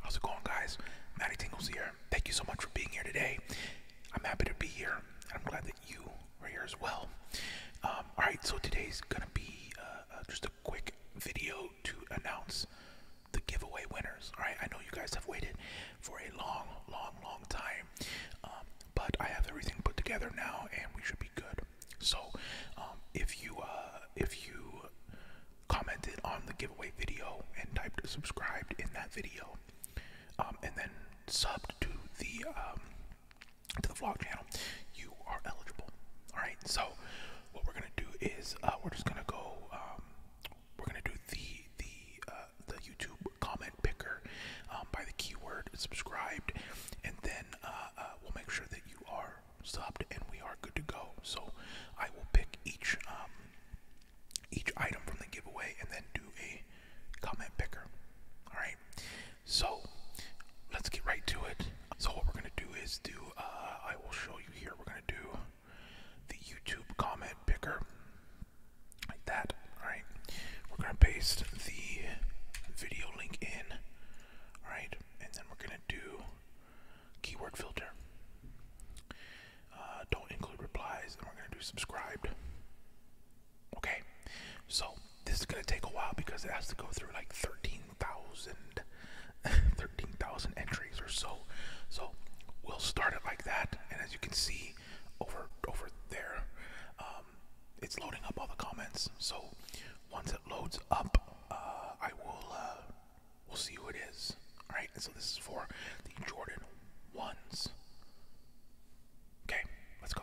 How's it going, guys? Matty Tingles here. Thank you so much for being here today. I'm happy to be here, and I'm glad that you are here as well. Um, all right, so today's gonna be uh, uh, just a quick video to announce the giveaway winners. All right, I know you guys have waited for a long, long, long time, um, but I have everything put together now, and we should be good. So, um, if you uh, if you commented on the giveaway video and typed subscribed in that video, um, and then subbed to the um, to the vlog channel, you are eligible. All right. So, what we're gonna do is uh, we're just gonna go we're gonna do the the uh, the YouTube comment picker um, by the keyword subscribed, and then uh, uh, we'll make sure that you are subbed and we are good to go. So I will pick each um, each item from the giveaway and then do a comment picker. All right. So let's get right to it. So what we're gonna do is do. I will show you here. We're gonna do the YouTube comment picker, like that. All right, we're gonna paste the video link in. All right, and then we're gonna do keyword filter. Uh, don't include replies, and we're gonna do subscribed. Okay, so this is gonna take a while because it has to go through like thirteen thousand 13,000 entries or so. So we'll start it like that. And as you can see over over there, um, it's loading up all the comments. So once it loads up, uh, I will uh, we'll see who it is. All right. And so this is for the Jordan ones. Okay, let's go.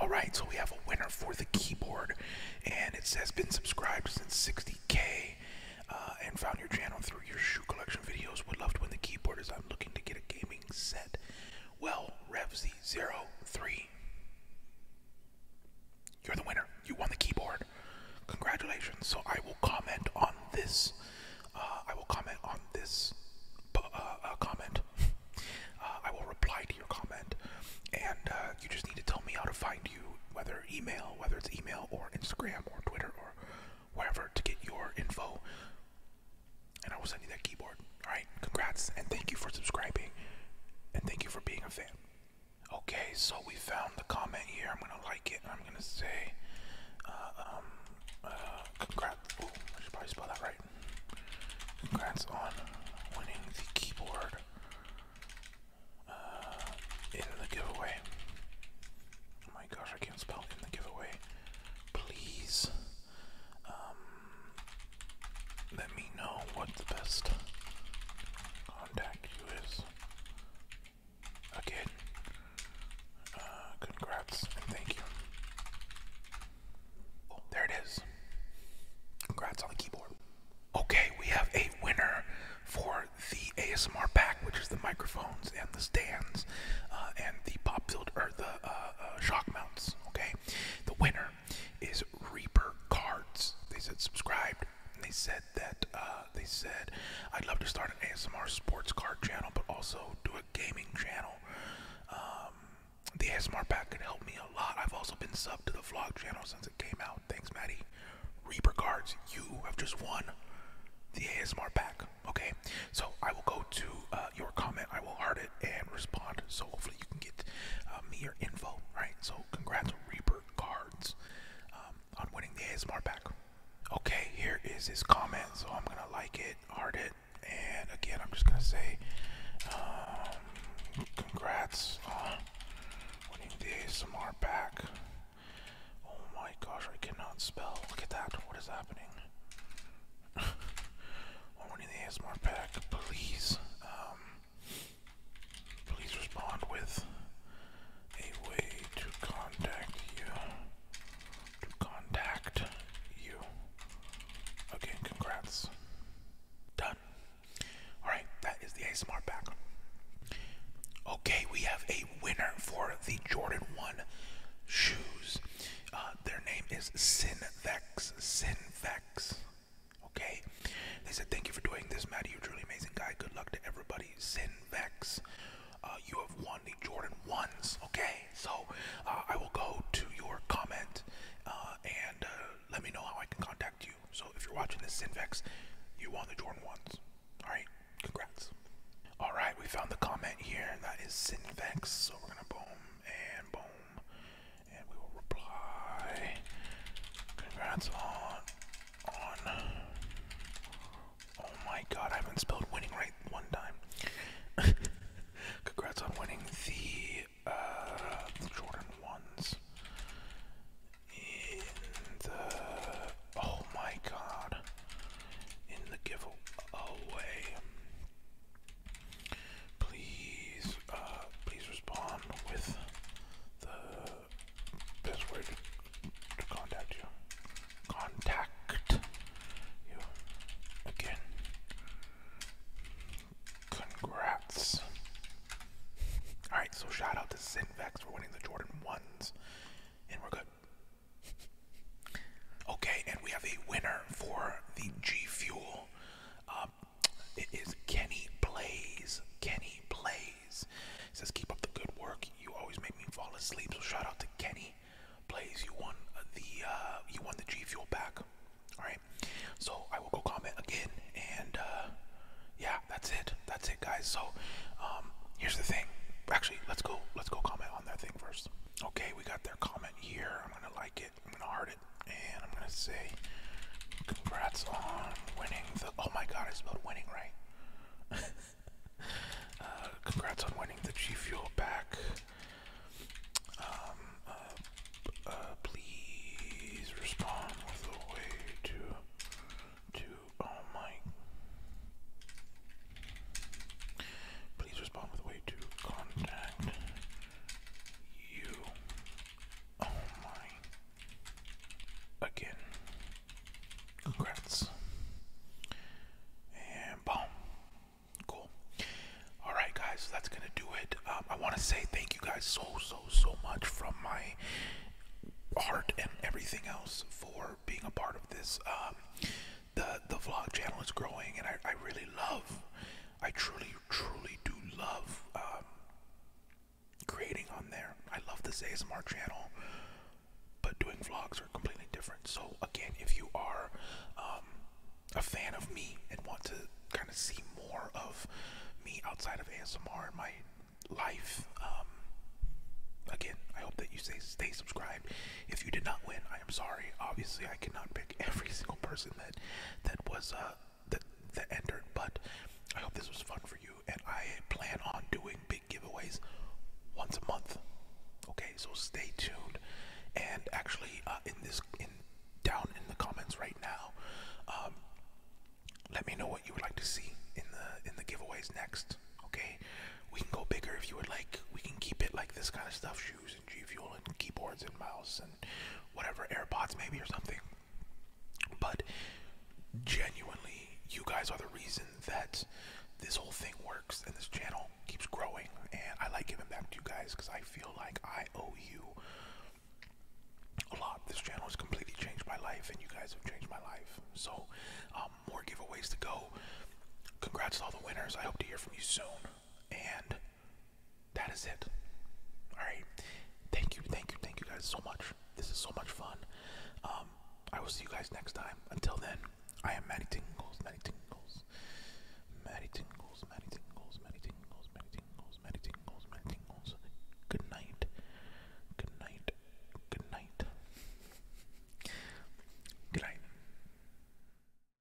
All right, so we have a winner for the keyboard, and it says been subscribed since 60k, uh, and found your channel through your shoe collection videos. Would love to win the keyboard as I'm looking to get a gaming set. Well, Revz03, you're the winner. You won the keyboard. Congratulations. So I will comment on this. Uh, I will comment on this uh, uh, comment. I will reply to your comment, and you just need to tell me how to find you, whether email, whether it's email or Instagram or Twitter or wherever to get your info. And I will send you that keyboard. All right. Congrats, and thank you for subscribing, and thank you for being a fan. Okay, so we found the comment here. I'm gonna like it. I'm gonna say, uh, um, uh, congrats. on winning the keyboard uh, in the giveaway. Oh my gosh, I can't spell in the giveaway. Please, um, let me know what the best Again, uh, congrats and thank you. Oh, there it is. Congrats on the keyboard. Okay, we have a winner for the ASMR pack, which is the microphones and the stands uh, and the pop filter or the uh, shock mounts. Okay, the winner is Reaper Cards. They said subscribed they said that uh, they said I'd love to start an ASMR sports car channel, but also do a gaming channel. Um, the ASMR pack could help me a lot. I've also been subbed to the vlog channel since it came out. Thanks, Maddie. Reaper cards, you have just won the ASMR pack. Okay, so I will go to uh, your comment. I will heart it and respond. So hopefully you can get uh, me your info, right? So congrats on Reaper Cards um, on winning the ASMR pack. Okay, here is his comment. So I'm gonna like it, heart it, and again I'm just gonna say um, congrats on winning the ASMR pack. Oh my gosh, I cannot spell. Look at that. What is happening? on winning the ASMR pack, please. Um, Please respond with a way to contact you. To contact you. Again, congrats. Done. Alright, that is the ASMR pack. Okay, we have a winner for the Jordan 1 shoes. Uh, their name is Sinvex. Sinvex. Okay? They said, Thank you for doing this, Matt. You're a truly amazing guy. Good luck to everybody. Sin Vex. Uh, you have won the Jordan 1s. Okay? So uh, I will go to your comment uh, and let me know how I can contact you. So if you're watching this, Sin Vex, you won the Jordan 1s. Alright? Congrats. Alright, we found the comment here. That is Sin Vex. So we're going to boom and boom and we will reply. Congrats on on. Oh my God! I haven't spelled winning right one time. Congrats on winning the uh, Jordan ones. In the oh my God! In the giveaway. Please, uh, please respond with the best way to, contact you. Contact you again. Congrats. Alright, so shout out to Synvex for winning the Jordan 1s. And we're good. Okay, and we have a winner for the G Fuel um, it is Kenny Blaze. Kenny Blaze says, "Keep up the good work. You always make me fall asleep." So shout out to Kenny Blaze. You won the uh, you won the G Fuel back. All right. So I will go comment again, and uh, yeah, that's it. That's it, guys. So um, here's the thing. Actually, let's go. Let's go comment on that thing first. Okay, we got their comment here. I'm gonna like it. I'm gonna heart it, and I'm gonna say, "Congrats on winning the." Oh my God, I spelled winning right. Uh, congrats on winning the G Fuel back. Um, uh, uh, please respond with a way to, to. Oh my. Please respond with a way to contact you. Oh my. Again. Congrats. And boom. Cool. Alright, guys, that's going to do it. Um, I want to say thank you guys so, so, so much from my heart and everything else for being a part of this. Um, the, the vlog channel is growing, and I really love I truly, truly do love um, creating on there. I love this ASMR channel, but doing vlogs are completely different. So again, if you are um, a fan of me and want to kind of see more of me outside of ASMR and my life, um, again, I hope that you stay, stay subscribed. If you did not win, I am sorry. Obviously, I cannot pick every single person that was uh, that that entered. But I hope this was fun for you, and I plan on doing big giveaways once a month. Okay, so stay tuned. And actually, uh, in this in down in the comments right now, um, let me know what you would like to see in the in the giveaways next. Okay, we can go bigger if you would like. We can keep it like this kind of stuff, shoes G Fuel and keyboards and mouse and whatever AirPods maybe or something. But genuinely, you guys are the reason that this whole thing works and this channel keeps growing. And I like giving back to you guys because I feel like I owe you a lot. This channel has completely changed my life, and you guys have changed my life. So, um, more giveaways to go. Congrats to all the winners. I hope to hear from you soon. And that is it. All right. Thank you, thank you, thank you guys so much. This is so much fun. Um, I will see you guys next time. Until then, I am Maddie Tingles, Maddie Tingles, Maddie Tingles, Maddie Tingles, Maddie Tingles, Maddie Tingles, Maddie Tingles, Maddie Tingles. Good night. Good night. Good night. Good night.